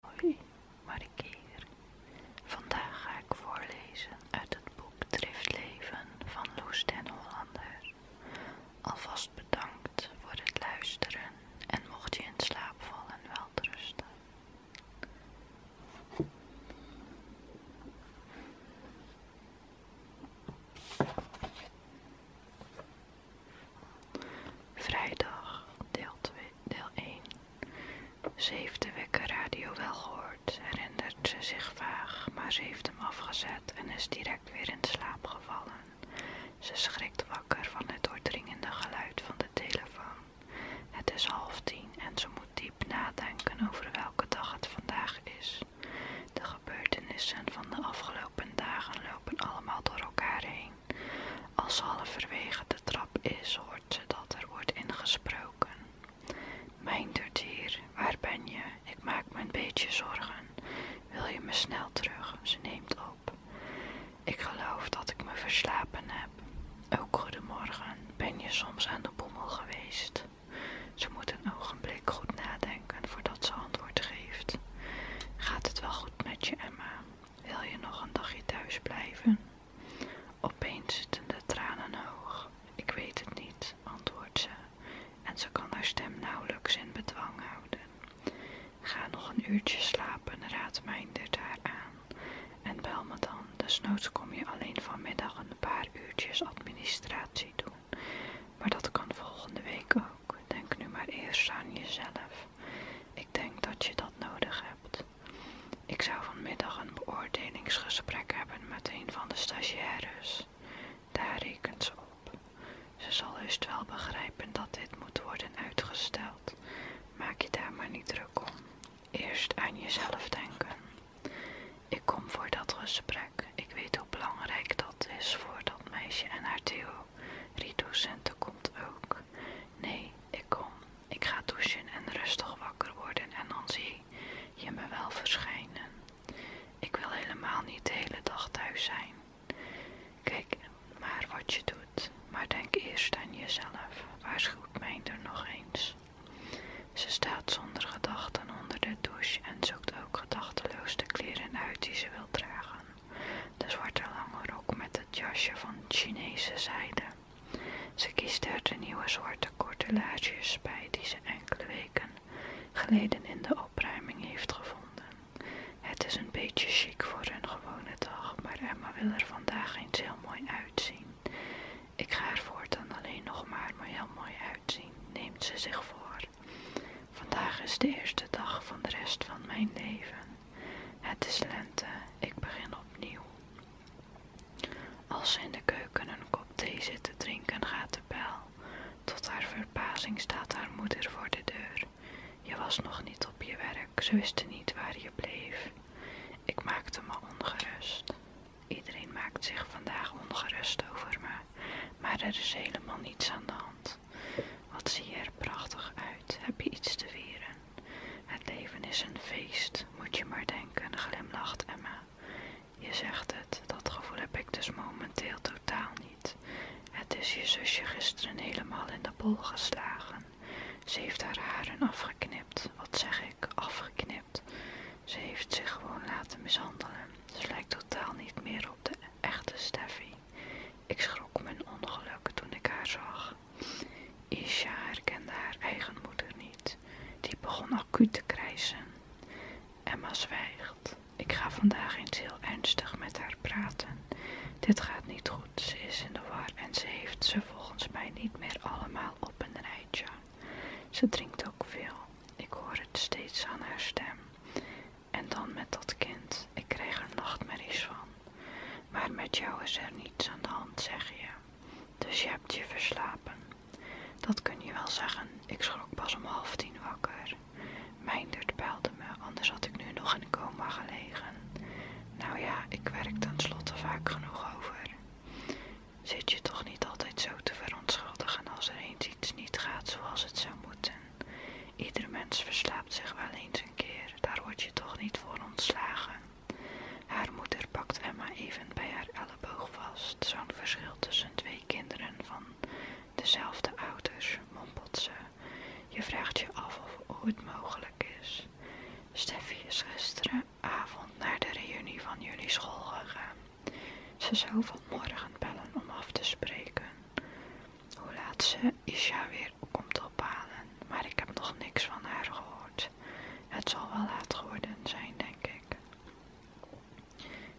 Hoi, Marikeer. Vandaag ga ik voorlezen uit het boek Driftleven van Loes den Hollander. Alvast bedankt voor het luisteren en mocht je in slaap vallen, wel rusten. Vrijdag deel 2 deel 1. Ze heeft de radio wel gehoord, herinnert ze zich vaag, maar ze heeft hem afgezet en is direct weer in slaap gevallen. Ze schrikt wakker van het doordringende geluid van de telefoon. Het is half tien en ze moet diep nadenken over welke dag het vandaag is. De gebeurtenissen van de afgelopen dagen lopen allemaal door elkaar heen. Als ze halverwege de trap is, hoort ze dat er wordt ingesproken. Mijn hier, waar ben je? Ik maak me een beetje zorgen. Wil je me snel terug? Ze neemt op. Ik geloof dat ik me verslapen heb. Ook goedemorgen. Ben je soms aan de boemel geweest? Ze moet een ogenblik goed nadenken voordat ze antwoord geeft. Gaat het wel goed met je, Emma? Wil je nog een dagje thuis blijven? Opeens zitten de tranen hoog. Ik weet het niet, antwoordt ze, en ze kan haar stem nauwelijks in bedwang houden. Ga nog een uurtje slapen, Raad Mijn haar aan. En bel me dan, desnoods kom je alleen vanmiddag een paar uurtjes administratie doen. Maar dat kan volgende week ook. Denk nu maar eerst aan jezelf. Ik denk dat je dat nodig hebt. Ik zou vanmiddag een beoordelingsgesprek hebben met een van de stagiaires. Daar rekent ze op. Ze zal heus wel begrijpen dat dit moet worden uitgesteld. Maak je daar maar niet druk om. Eerst aan jezelf denken. Ik kom voor dat gesprek. Ik weet hoe belangrijk dat is voor dat meisje en haar Theo. Riedocente komt ook. Nee, ik kom. Ik ga douchen en rustig wakker worden en dan zie je me wel verschijnen. Ik wil helemaal niet de hele dag thuis zijn. Kijk maar wat je doet, maar denk eerst aan jezelf. Waarschuwt er nog eens. Ze staat zonder gedachten onder de douche en zoekt ook gedachteloos de kleren uit die ze wil dragen. De zwarte lange rok met het jasje van Chinese zijde. Ze kiest uit de nieuwe zwarte cortelages bij die ze enkele weken geleden in de opruiming heeft gevonden. Het is een beetje chic voor een gewone dag, maar Emma wil er vandaag eens heel mooi uitzien. Ik ga ervoor dan alleen nog maar heel mooi uitzien, neemt ze zich voor. Vandaag is de eerste dag van de rest van mijn leven. Het is lente, ik begin opnieuw. Als ze in de keuken een kop thee zit te drinken, gaat de bel. Tot haar verbazing staat haar moeder voor de deur. Je was nog niet op je werk, ze wisten niet waar je bleef. Ik maakte me ongerust. Iedereen maakt zich vandaag ongerust over me, maar er is helemaal niets aan de hand. Wat zie je er prachtig uit? Heb je iets te vieren? Het leven is een feest, moet je maar denken, glimlacht Emma. Je zegt het, dat gevoel heb ik dus momenteel totaal niet. Het is je zusje gisteren helemaal in de bol geslagen. Ze heeft haar haren afgeknipt. Wat zeg ik, afgeknipt? Ze heeft zich gewoon laten mishandelen. Ze lijkt totaal niet meer op de echte Steffi. Ik schrok mijn ongeluk toen ik haar zag. Isha herkende haar eigen moeder niet. Die begon acuut te krijsen. Emma zwijgt. Ik ga vandaag eens heel ernstig met haar praten. Dit gaat niet goed. Ze is in de war en ze heeft ze volgens mij niet meer allemaal op een rijtje. Ze drinkt ook veel. Ik hoor het steeds aan haar stem. En dan met dat kind. Ik krijg er nachtmerries van. Maar met jou is er niets aan de hand, zeg je. Dus je hebt je verslapen. Dat kun je wel zeggen. Ik schrok pas om half tien wakker. Mijndert belde me, anders had ik nu nog in de coma gelegen. Nou ja, ik werk tenslotte vaak genoeg over. Zit je toch niet altijd zo te verontschuldigen als er eens iets niet gaat zoals het zou moeten? Ieder mens verslaapt zich wel eens een keer, daar word je toch niet voor ontslagen. Haar moeder pakt Emma even bij haar elleboog vast. Zo'n verschil tussen twee kinderen van dezelfde ouders, mompelt ze. Je vraagt je af of ooit mogelijk is. Steffi is gisteravond naar de reunie van jullie school gegaan. Ze zou vanmorgen bellen om af te spreken. Hoe laat ze Isha weer komt ophalen, maar ik heb nog niks van haar gehoord. Het zal wel laat geworden zijn, denk ik.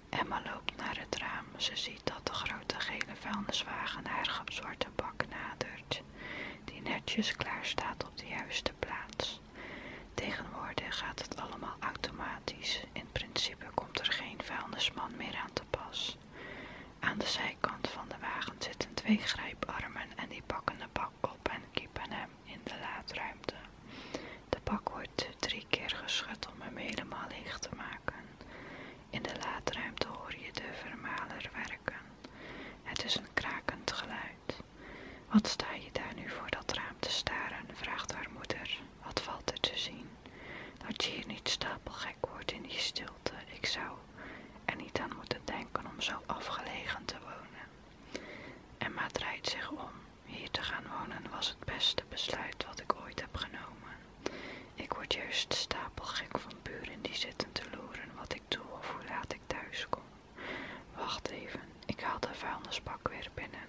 Emma loopt naar het raam. Ze ziet dat de grote gele vuilniswagen haar zwarte bak nadert, die netjes klaar staat op de juiste plaats. Tegenwoordig gaat het allemaal automatisch. In principe komt er geen vuilnisman meer aan te pas. Aan de zijkant van de wagen zitten twee grijparmen en die pakken de bak op en kiepen hem in de laadruimte. De bak wordt drie keer geschud om hem helemaal leeg te maken. In de laadruimte hoor je de vermaler werken. Het is een krakend geluid. Wat sta je daar nu voor dat raam te staren? vraagt haar moeder. Wat valt er te zien? Dat je hier niet stapelgek wordt in die stilte. Ik zou en niet aan moeten denken om zo afgelegen te wonen. Emma draait zich om. Hier te gaan wonen was het beste besluit wat ik ooit heb genomen. Ik word juist stapelgek van buren die zitten te loeren wat ik doe of hoe laat ik thuis kom. Wacht even, ik haal de vuilnisbak weer binnen.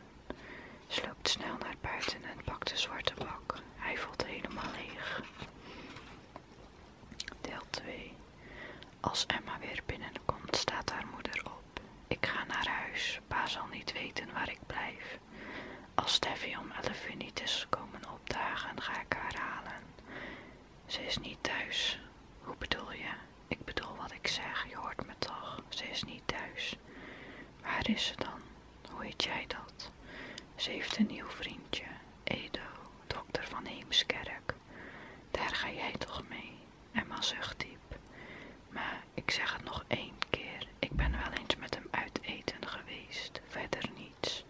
Sloopt snel naar buiten en pakt de zwarte bak. Hij voelt helemaal leeg. Deel 2. Als Emma weer binnenkomt, staat haar moeder op. Ik ga naar huis. Pa zal niet weten waar ik blijf. Als Steffi om 11 uur niet is komen opdagen, ga ik haar halen. Ze is niet thuis. Hoe bedoel je? Ik bedoel wat ik zeg. Je hoort me toch? Ze is niet thuis. Waar is ze dan? Hoe heet jij dat? Ze heeft een nieuw vriendje, Edo, dokter van Heemskerk. Daar ga jij toch mee? Emma zucht diep. Maar ik zeg het nog één keer. Ik ben wel eens met hem uit eten geweest. Verder niets.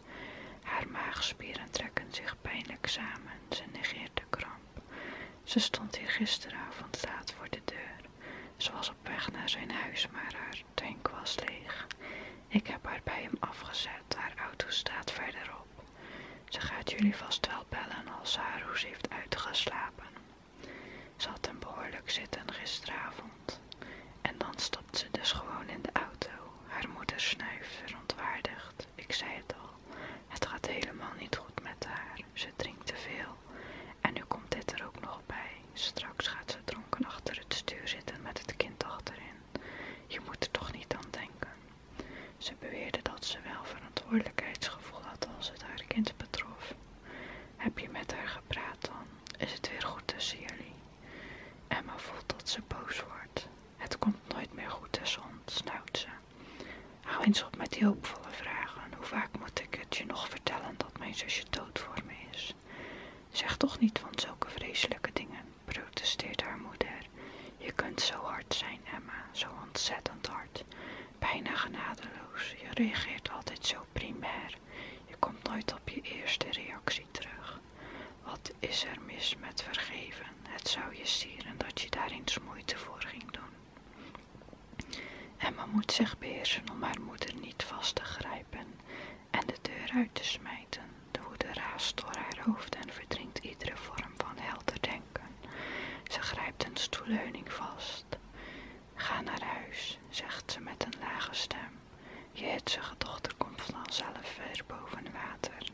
Haar maagspieren trekken zich pijnlijk samen. Ze negeert de kramp. Ze stond hier gisteravond laat voor de deur. Ze was op weg naar zijn huis, maar haar tank was leeg. Ik heb haar bij hem afgezet. Haar auto staat verderop. Ze gaat jullie vast wel bellen als ze heeft uitgeslapen. Ze had hem behoorlijk zitten gisteravond. En dan stopt ze dus gewoon in de auto. Haar moeder snuift verontwaardigd. Ik zei het al, het gaat helemaal niet goed met haar. Ze drinkt te veel. En nu komt dit er ook nog bij. Straks gaat ze dronken achter het stuur zitten met het kind achterin. Je moet er toch niet aan denken. Ze beweerde dat ze wel verantwoordelijkheidsgevoel had als het haar kind betrof. Heb je met haar gepraat dan? Is het weer goed tussen jullie? Emma voelt dat ze boos wordt. Het komt nooit meer goed tussen ons, snauwt ze. Hou eens op met die hoopvolle vragen. Hoe vaak moet ik het je nog vertellen dat mijn zusje dood voor me is? Zeg toch niet van zulke vreselijke dingen protesteert haar moeder. Je kunt zo hard zijn, Emma, zo ontzettend hard. Bijna genadeloos. Je reageert altijd zo primair. Je komt nooit op je eerste reactie terug. Wat is er mis met vergeven? Het zou je sieren dat je daar eens moeite voor ging doen. Emma moet zich beheersen om haar moeder niet vast te grijpen en de deur uit te smijten. De woede raast door haar hoofd en verdringt iedere vorm van helder denken. Ze grijpt een stoelleuning vast. Ga naar huis, zegt ze met een lage stem. Je hitsige dochter komt vanzelf ver boven water.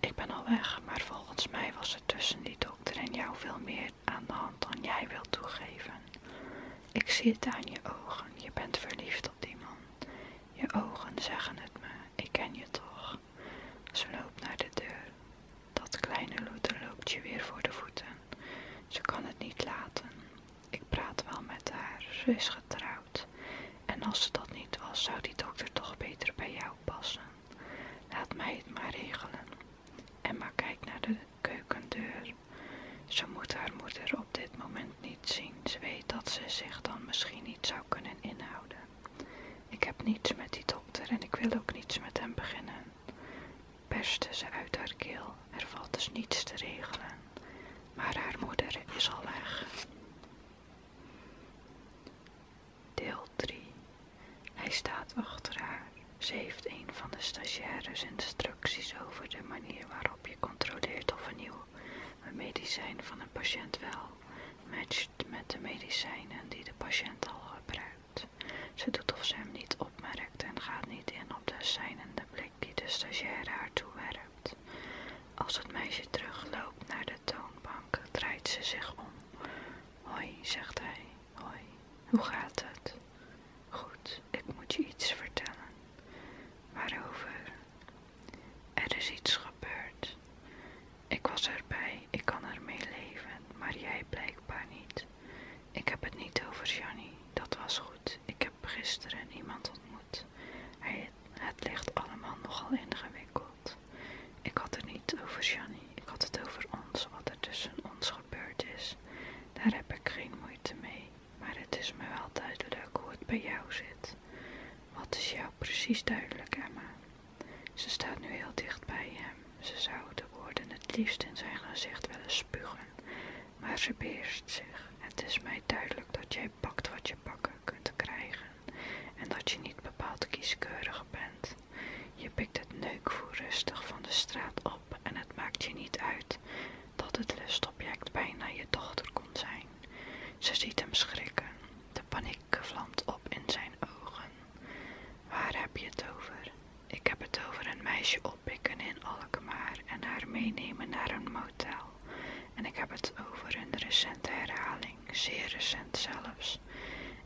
Ik ben al weg, maar volgens mij was er tussen die dokter en jou veel meer aan de hand dan jij wilt toegeven. Ik zie het aan je ogen, je bent verliefd op die man. Je ogen zeggen het me ik ken je toch. Ze loopt naar de deur. Dat kleine loeder loopt je weer voor de voeten. Ze kan het niet laten. Ik praat wel met haar, ze is getrouwd. En als ze dat niet was, zou die dokter toch beter bij jou passen. Laat mij het maar regelen. Emma kijkt naar de keukendeur. Ze moet haar moeder op dit moment niet zien. Ze weet dat ze zich dan misschien niet zou kunnen inhouden. Ik heb niets met die dokter en ik wil ook niets met hem beginnen. Perste ze uit haar keel, er valt dus niets te regelen. Maar haar moeder is al weg. Deel 3 Hij staat achter haar. Ze heeft een van de stagiaires instructies over de manier waarop je controleert of een nieuw medicijn van een patiënt wel matcht met de medicijnen die de patiënt al gebruikt. Ze doet of ze hem niet opmerkt en gaat niet in op de zijnende blik die de stagiaire haar toewerpt. Als het meisje terugloopt naar de toonbank, draait ze zich om. Hoi, zegt hij. Hoi, hoe gaat het? Goed, ik moet je iets vertellen. Waarover? Er is iets gebeurd. Ik was erbij, ik kan ermee leven, maar jij blijkbaar niet. Ik heb het niet over Janny. dat was goed. Ik heb gisteren iemand ontmoet. het ligt allemaal nogal ingewikkeld. Ik had het niet over Janny. ik had het over ons, wat er tussen ons gebeurd is. Daar heb ik geen moeite mee, maar het is me wel duidelijk hoe het bij jou zit. Wat is jou precies duidelijk, Emma? Ze staat nu heel dicht bij hem. Ze zou de woorden het liefst in zijn gezicht willen spugen, maar ze beheerst zich. Het is mij duidelijk dat jij pakt wat je pakken kunt krijgen en dat je niet bepaald kieskeurig bent. Je pikt het neukvoer rustig van de straat op en het maakt je niet uit dat het lustobject bijna je dochter kon zijn. Ze ziet hem schrikken de paniek vlamt op in zijn ogen. Waar heb je het over? Ik heb het over een meisje oppikken in Alkmaar en haar meenemen naar een motel. En ik heb het over een recente herhaling, zeer recent zelfs.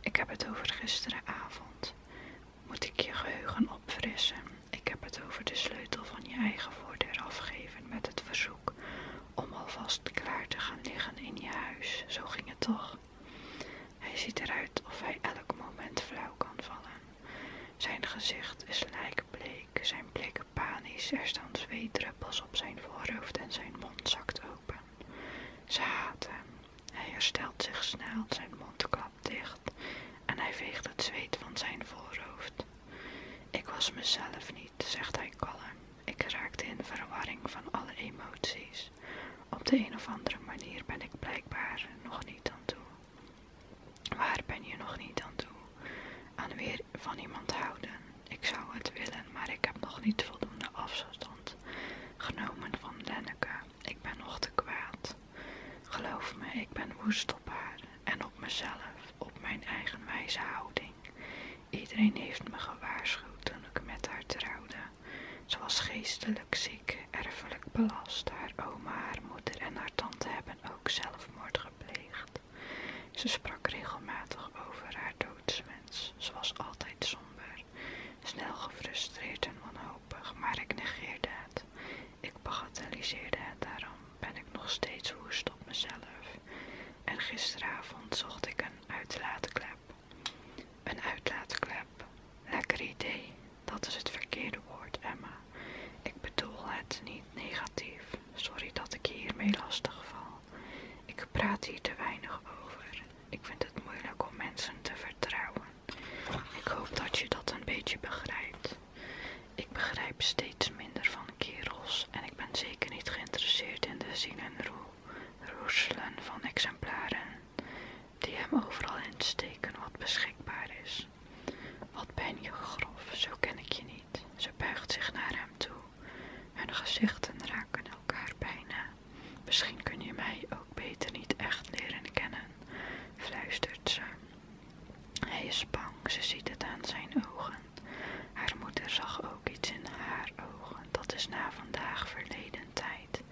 Ik heb het over gisteravond. Moet ik je geheugen opfrissen? Ik heb het over de sleutel van je eigen voordeur afgeven met het verzoek om alvast klaar te gaan liggen in je huis. Zo ging het toch. Hij ziet eruit of hij elk moment flauw kan vallen. Zijn gezicht is lijkbleek, zijn blik panisch, er staan zweetdruppels op zijn voorhoofd en zijn mond zakt open. Ze haat hem. Hij herstelt zich snel, zijn mond klapt dicht en hij veegt het zweet van zijn voorhoofd. Ik was mezelf niet, zegt hij kalm. Ik raakte in verwarring van alle emoties. Op de een of andere manier ben ik blijkbaar nog niet aan toe. Waar ben je nog niet aan toe? Aan weer van iemand houden. Ik zou het willen, maar ik heb nog niet voldoende afstand genomen van Lenneke. Ik ben nog te kwaad. Geloof me, ik ben woest op haar en op mezelf, op mijn eigen wijze houding. Iedereen heeft me gewaarschuwd toen ik met haar trouwde. Ze was geestelijk ziek, erfelijk belast. Haar oma, haar moeder en haar tante hebben ook zelfmoord gepleegd. Ze sprak regelmatig over haar doodswens. Ze was altijd somber, snel gefrustreerd en wanhopig, maar ik negeerde het. Ik bagatelliseerde het daarom, ben ik nog steeds woest op mezelf en gisteravond zocht ik een uitlaatklep. Een uitlaatklep. Lekker idee. Dat is het verkeerde woord, Emma. Ik bedoel het niet negatief. Sorry dat ik je hiermee lastig val. Ik praat hier te weinig over. Ik vind het moeilijk om mensen te vertrouwen. Ik hoop dat je dat een beetje begrijpt. Ik begrijp steeds minder van kerels en ik ben zeker niet geïnteresseerd in de zin en roep roeselen van exemplaren die hem overal insteken wat beschikbaar is. Wat ben je grof, zo ken ik je niet. Ze buigt zich naar hem toe. Hun gezichten raken elkaar bijna. Misschien kun je mij ook beter niet echt leren kennen, fluistert ze. Hij is bang, ze ziet het aan zijn ogen. Haar moeder zag ook iets in haar ogen. Dat is na vandaag verleden tijd.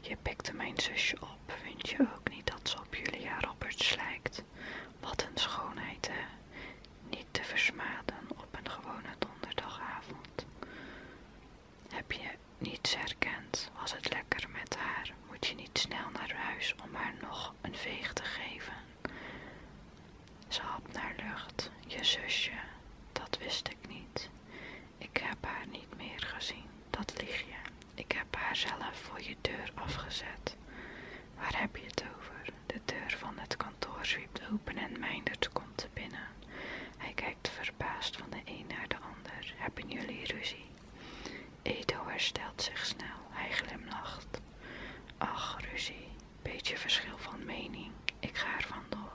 Je pikte mijn zusje op. Vind je ook niet dat ze op Julia Roberts lijkt? Wat een schoonheid, hè? Niet te versmaden op een gewone donderdagavond. Heb je niets herkend? Was het lekker met haar? Moet je niet snel naar huis om haar nog een veeg te geven? Ze had naar lucht, je zusje, dat wist ik niet. Ik heb haar niet meer gezien, dat lieg je. Ik heb haar zelf voor je deur afgezet. Waar heb je het over? De deur van het kantoor zwiept open en Meindert komt binnen. Hij kijkt verbaasd van de een naar de ander. Hebben jullie ruzie? Edo herstelt zich snel, hij glimlacht. Ach, ruzie, Beetje verschil van mening. Ik ga er vandoor.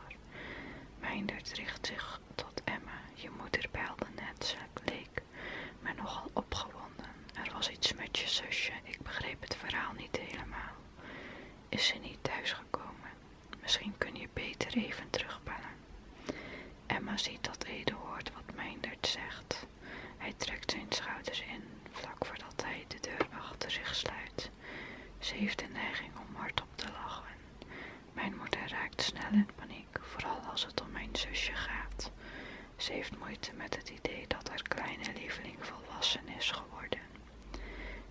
Mijndert richt zich tot Emma. Je moeder belde net, Ze leek maar nogal opgewonden. Er was iets met je zusje. Ik begreep het verhaal niet helemaal. Is ze niet thuisgekomen? Misschien kun je beter even terugbellen. Emma ziet dat Ede hoort wat Mijndert zegt. Hij trekt zijn schouders in, vlak voordat hij de deur achter zich sluit. Ze heeft de neiging om hardop te lachen. Mijn moeder raakt snel in paniek, vooral als het om mijn zusje gaat. Ze heeft moeite met het idee dat haar kleine lieveling volwassen is geworden.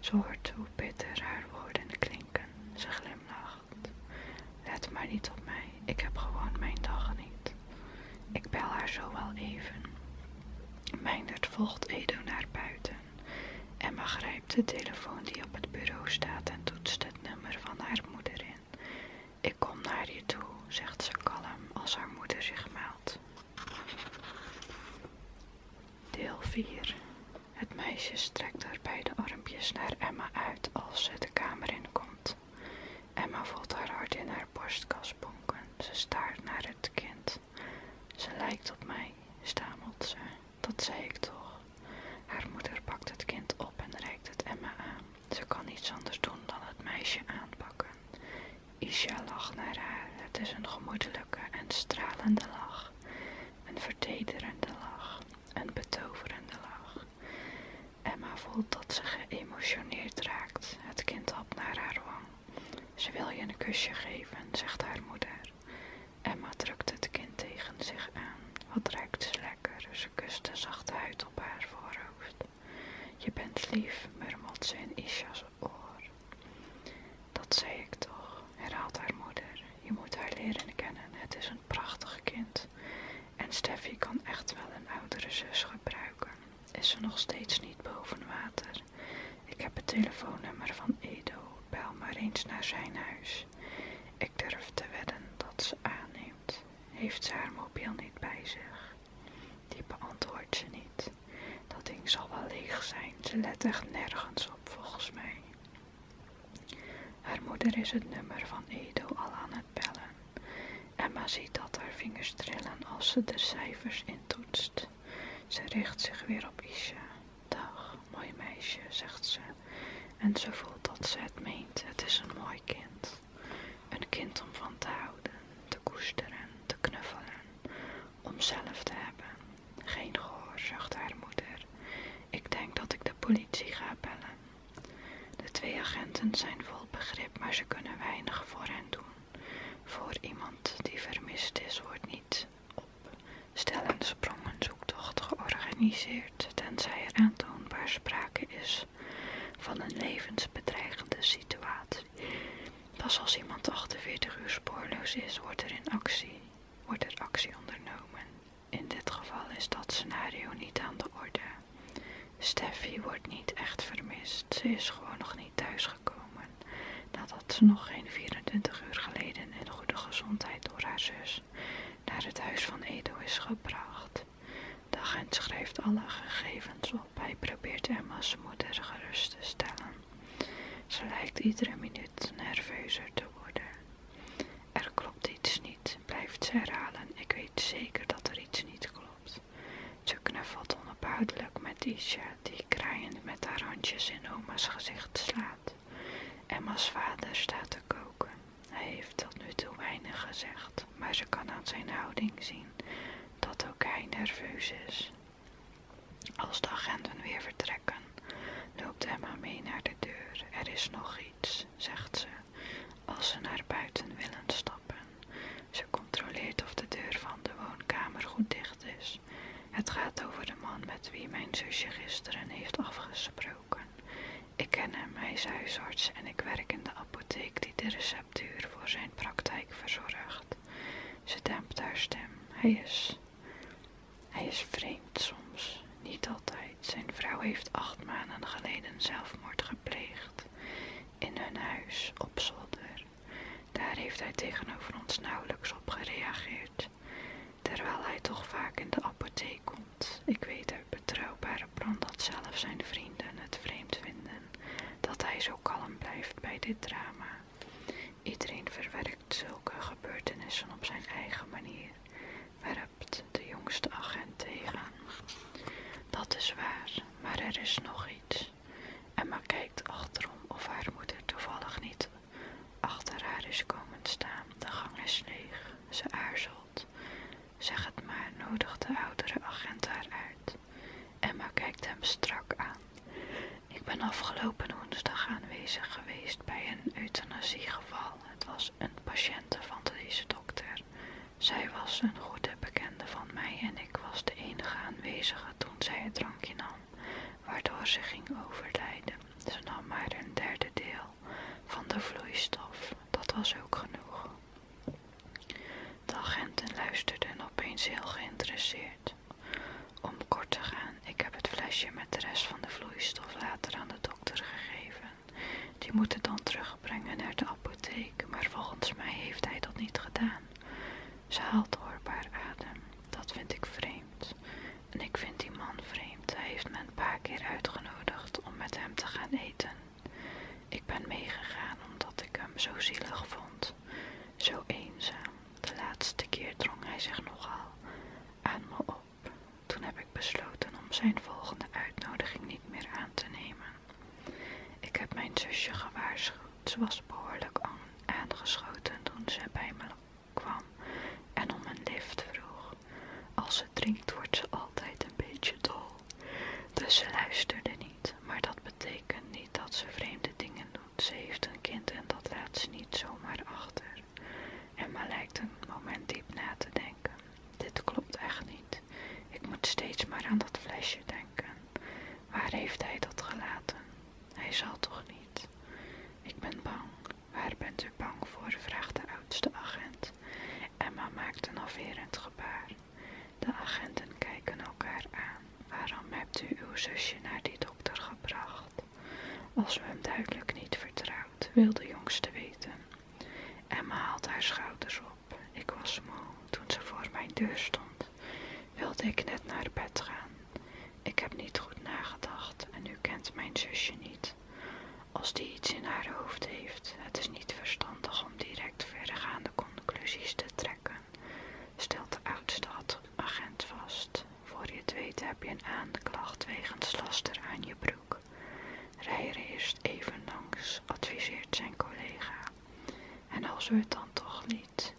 Ze hoort hoe bitter haar woorden klinken. Ze glimlacht. Let maar niet op mij, ik heb gewoon mijn dag niet. Ik bel haar zo wel even. Meindert volgt Edo naar buiten. Emma grijpt de telefoon die op het bureau staat en toetst het nummer van haar moeder in. Ik kom naar je toe, zegt ze kalm als haar moeder zich meldt. Deel 4 Het meisje strekt haar beide armpjes naar Emma uit als ze de kamer inkomt. Emma voelt haar hart in haar borstkas bonken. Ze staart naar het kind. Ze lijkt op mij, stamelt ze. Dat zei ik toch. Haar moeder pakt het kind op en reikt het Emma aan. Ze kan niets anders doen dan het meisje aanpakken. Isha lacht naar haar. Het is een gemoedelijke en stralende lach. Een vertederende lach. Een betoverende lach. Emma voelt dat ze geëmotioneerd raakt. Het kind op naar haar wang. Ze wil je een kusje geven, zegt haar moeder. Emma drukt het kind tegen zich aan. Wat ruikt ze lekker? Ze kust de zachte huid op haar voorhoofd. Je bent lief, murmelt ze in Isha's oor. Dat zei ik toch, herhaalt haar moeder. Je moet haar leren kennen. Het is een prachtig kind. En Steffi kan echt wel een oudere zus gebruiken. Is ze nog steeds niet boven water? Ik heb het telefoonnummer van Edo. Bel maar eens naar zijn huis. Ik durf te wedden dat ze aanneemt. Heeft ze haar mobiel niet bij zich? Die beantwoordt ze niet. Dat ding zal wel leeg zijn. Ze let echt nergens op, volgens mij. Haar moeder is het nummer van Edo al aan het bellen. Emma ziet dat haar vingers trillen als ze de cijfers intoetst. Ze richt zich weer op Isha. Dag, mooi meisje, zegt ze. En ze voelt dat ze het meent. Het is een mooi kind. Een kind om van te houden, te koesteren, te knuffelen. Om zelf te hebben. Geen gehoor, zucht haar moeder. Ik denk dat ik de politie ga bellen. De twee agenten zijn vol begrip, maar ze kunnen weinig voor hen doen. Voor iemand die vermist is, wordt niet op stel sprongen sprongenzoektocht georganiseerd, tenzij er aantoonbaar sprake is van een levensbedreigende situatie. Pas als iemand 48 uur spoorloos is, wordt er, in actie, wordt er actie ondernomen. In dit geval is dat scenario niet aan de orde. Steffi wordt niet echt vermist, ze is gewoon nog niet thuis Komen nadat ze nog geen 24 uur geleden in goede gezondheid door haar zus naar het huis van Edo is gebracht. De agent schrijft alle gegevens op. Hij probeert Emma's moeder gerust te stellen. Ze lijkt iedere minuut nerveuzer te worden. Er klopt iets niet, blijft ze herhalen. Ik weet zeker dat er iets niet klopt. Ze knuffelt onophoudelijk met Isha, die kraaiend met haar handjes in oma's gezicht slaat. Emma's vader staat te koken. Hij heeft tot nu toe weinig gezegd, maar ze kan aan zijn houding zien dat ook hij nerveus is. Als de agenten weer vertrekken, loopt Emma mee naar de deur. Er is nog iets, zegt ze, als ze naar buiten willen stappen. Ze controleert of de deur van de woonkamer goed dicht is. Het gaat over de man met wie mijn zusje gisteren heeft afgesproken. Ik ken hem, hij is huisarts en ik werk in de apotheek die de receptuur voor zijn praktijk verzorgt. Ze dempt haar stem. Hij is. Hij is vreemd soms, niet altijd. Zijn vrouw heeft acht maanden geleden zelfmoord gepleegd. In hun huis op zolder. Daar heeft hij tegenover ons nauwelijks op gereageerd, terwijl hij toch vaak in de apotheek komt. Ik weet uit betrouwbare brand dat zelf zijn vrienden het vreemd vinden dat hij zo kalm blijft bij dit drama. Iedereen verwerkt zulke gebeurtenissen op zijn eigen manier, werpt de jongste agent tegen. Dat is waar, maar er is nog iets. Emma kijkt achterom of haar moeder toevallig niet achter haar is komen staan. De gang is leeg. Ze aarzelt. Zeg het maar, nodigt de oudere agent haar uit. Emma kijkt hem strak aan. Ik ben afgelopen woensdag aanwezig geweest bij een euthanasiegeval. Het was een patiënte van deze dokter. Zij was een goede bekende van mij en ik was de enige aanwezige toen zij het drankje nam waardoor ze ging overlijden. Ze nam maar een derde deel van de vloeistof. Dat was ook genoeg. De agenten luisterden opeens heel geïnteresseerd. Om kort te gaan, ik heb het flesje met de rest van de vloeistof later aan de dokter gegeven. Die moet het dan terugbrengen naar de apotheek, maar volgens mij heeft hij dat niet gedaan. Ze haalt hoorbaar adem. Dat vind ik vreemd. En ik vind die man vreemd. Hij heeft me een paar keer uitgenodigd om met hem te gaan eten. Ik ben meegegaan omdat ik hem zo zielig vond. Zo eenzaam. De laatste keer drong hij zich nogal aan me op. Toen heb ik besloten om zijn volgende uitnodiging niet meer aan te nemen. Ik heb mijn zusje gewaarschuwd ze was behoorlijk aangeschoten toen ze bij me kwam en om een lift vroeg. Als ze drinkt wordt ze altijd een beetje dol. Dus ze luisterde niet, maar dat betekent niet dat ze vreemde dingen doet. Ze heeft een kind en dat laat ze niet zomaar achter. En Emma lijkt een moment diep na te denken. Dit klopt echt niet. Ik moet steeds maar aan dat flesje denken. Waar heeft hij dat gelaten? Hij zal toch niet. Ik ben bang. Waar bent u bang voor? vraagt de oudste agent. Emma maakt een afwerend gebaar. De agenten kijken elkaar aan. Waarom hebt u uw zusje naar die dokter gebracht? Als we hem duidelijk niet vertrouwt, wil de jongste weten. Emma haalt haar schouders op. Ik was moe toen ze voor mijn deur stond wilde ik net naar bed gaan. Ik heb niet goed nagedacht en u kent mijn zusje niet. Als die iets in haar hoofd heeft, het is niet verstandig om direct verregaande conclusies te trekken, stelt de oudste agent vast. Voor je het weet heb je een aanklacht wegens laster aan je broek. Rij er eerst even langs, adviseert zijn collega. En als ze het dan toch niet Blijf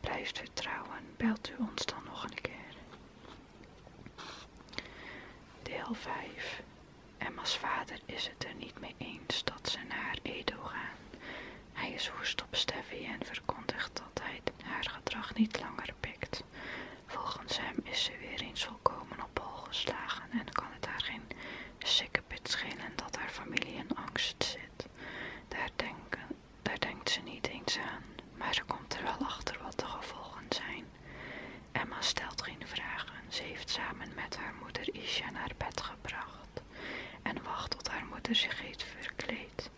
blijft vertrouwen, belt u ons dan nog een keer. Deel 5. Emma's vader is het er niet mee eens dat ze naar Edo gaan. Hij is woest op Steffi en verkondigt dat hij haar gedrag niet langer pikt. Volgens hem is ze weer eens volkomen op hol geslagen en kan het haar geen sikkepit schelen dat haar familie in angst zit. Daar denken daar denkt ze niet eens aan, maar ze komt er wel achter wat de gevolgen zijn. Emma stelt geen vragen. Ze heeft samen met haar moeder Isha naar bed gebracht en wacht tot haar moeder zich heeft verkleed.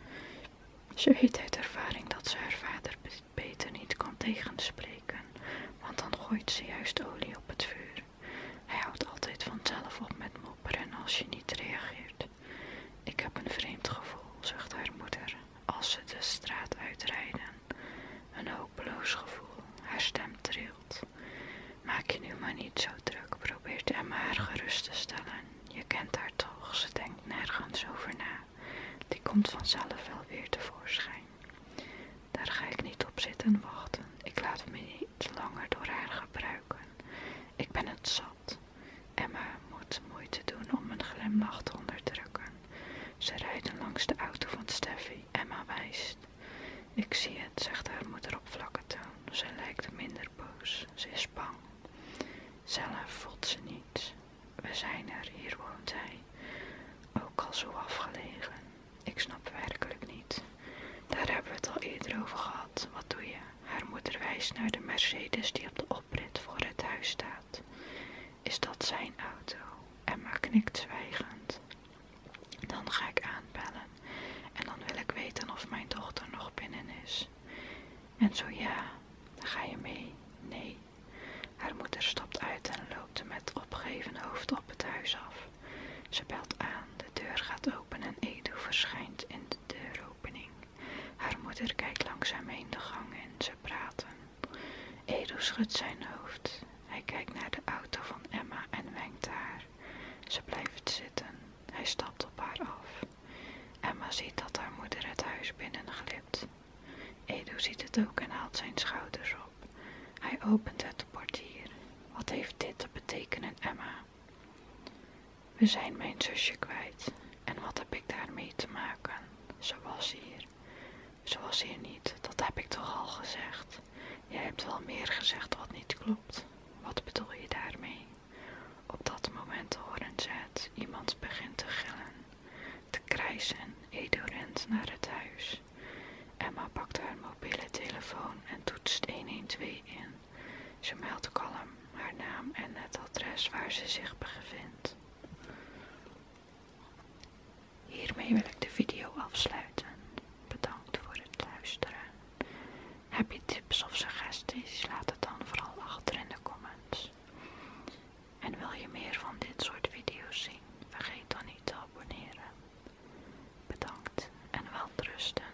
Ze weet uit ervaring dat ze haar vader beter niet kan tegenspreken, want dan gooit ze juist olie op het vuur. Hij houdt altijd vanzelf op met mopperen als je niet reageert. Ik heb een vreemd gevoel, zegt haar moeder, als ze de straat uitrijden. Een hopeloos gevoel, haar stem trilt. Maak je nu maar niet zo druk, probeert Emma haar gerust te stellen. Je kent haar toch, ze denkt nergens over na. Die komt vanzelf wel weer tevoorschijn. Daar ga ik niet op zitten wachten. Ik laat me niet langer door haar gebruiken. Ik ben het zat. Emma moet moeite doen om een glimlach te onderdrukken. Ze rijdt langs de auto van Steffi. Emma wijst. Ik zie het, zegt haar moeder op vlakke toon. Ze lijkt minder boos. Ze is bang. Zelf voelt ze niets. We zijn er, hier woont hij. Ook al zo afgelegen. Ik snap werkelijk niet. Daar hebben we het al eerder over gehad. Wat doe je? Haar moeder wijst naar de Mercedes die op de oprit voor het huis staat. Is dat zijn auto? Emma knikt zwijgend. Dan ga ik aanbellen en dan wil ik weten of mijn dochter nog binnen is. En zo ja, dan ga je mee? Nee. Haar moeder stopt uit en loopt met opgeheven hoofd op het huis af. Ze belt aan, de deur gaat open en Edu verschijnt in de deur. Haar moeder kijkt langzaam in de gang en ze praten. Edo schudt zijn hoofd. Hij kijkt naar de auto van Emma en wenkt haar. Ze blijft zitten. Hij stapt op haar af. Emma ziet dat haar moeder het huis binnenglipt. Edu ziet het ook en haalt zijn schouders op. Hij opent het portier. Wat heeft dit te betekenen, Emma? We zijn mijn zusje kwijt. En wat heb ik daarmee te maken? Ze hier. zoals hier niet, dat heb ik toch al gezegd. Jij hebt wel meer gezegd wat niet klopt. Wat bedoel je daarmee? Op dat moment horen ze het. Iemand begint te gillen, te krijsen. Edo rent naar het huis. Emma pakt haar mobiele telefoon en toetst 112 in. Ze meldt kalm haar naam en het adres waar ze zich bevindt. Hiermee wil ik de video afsluiten. Bedankt voor het luisteren. Heb je tips of suggesties? Laat het dan vooral achter in de comments. En wil je meer van dit soort video's zien? Vergeet dan niet te abonneren. Bedankt en welterusten.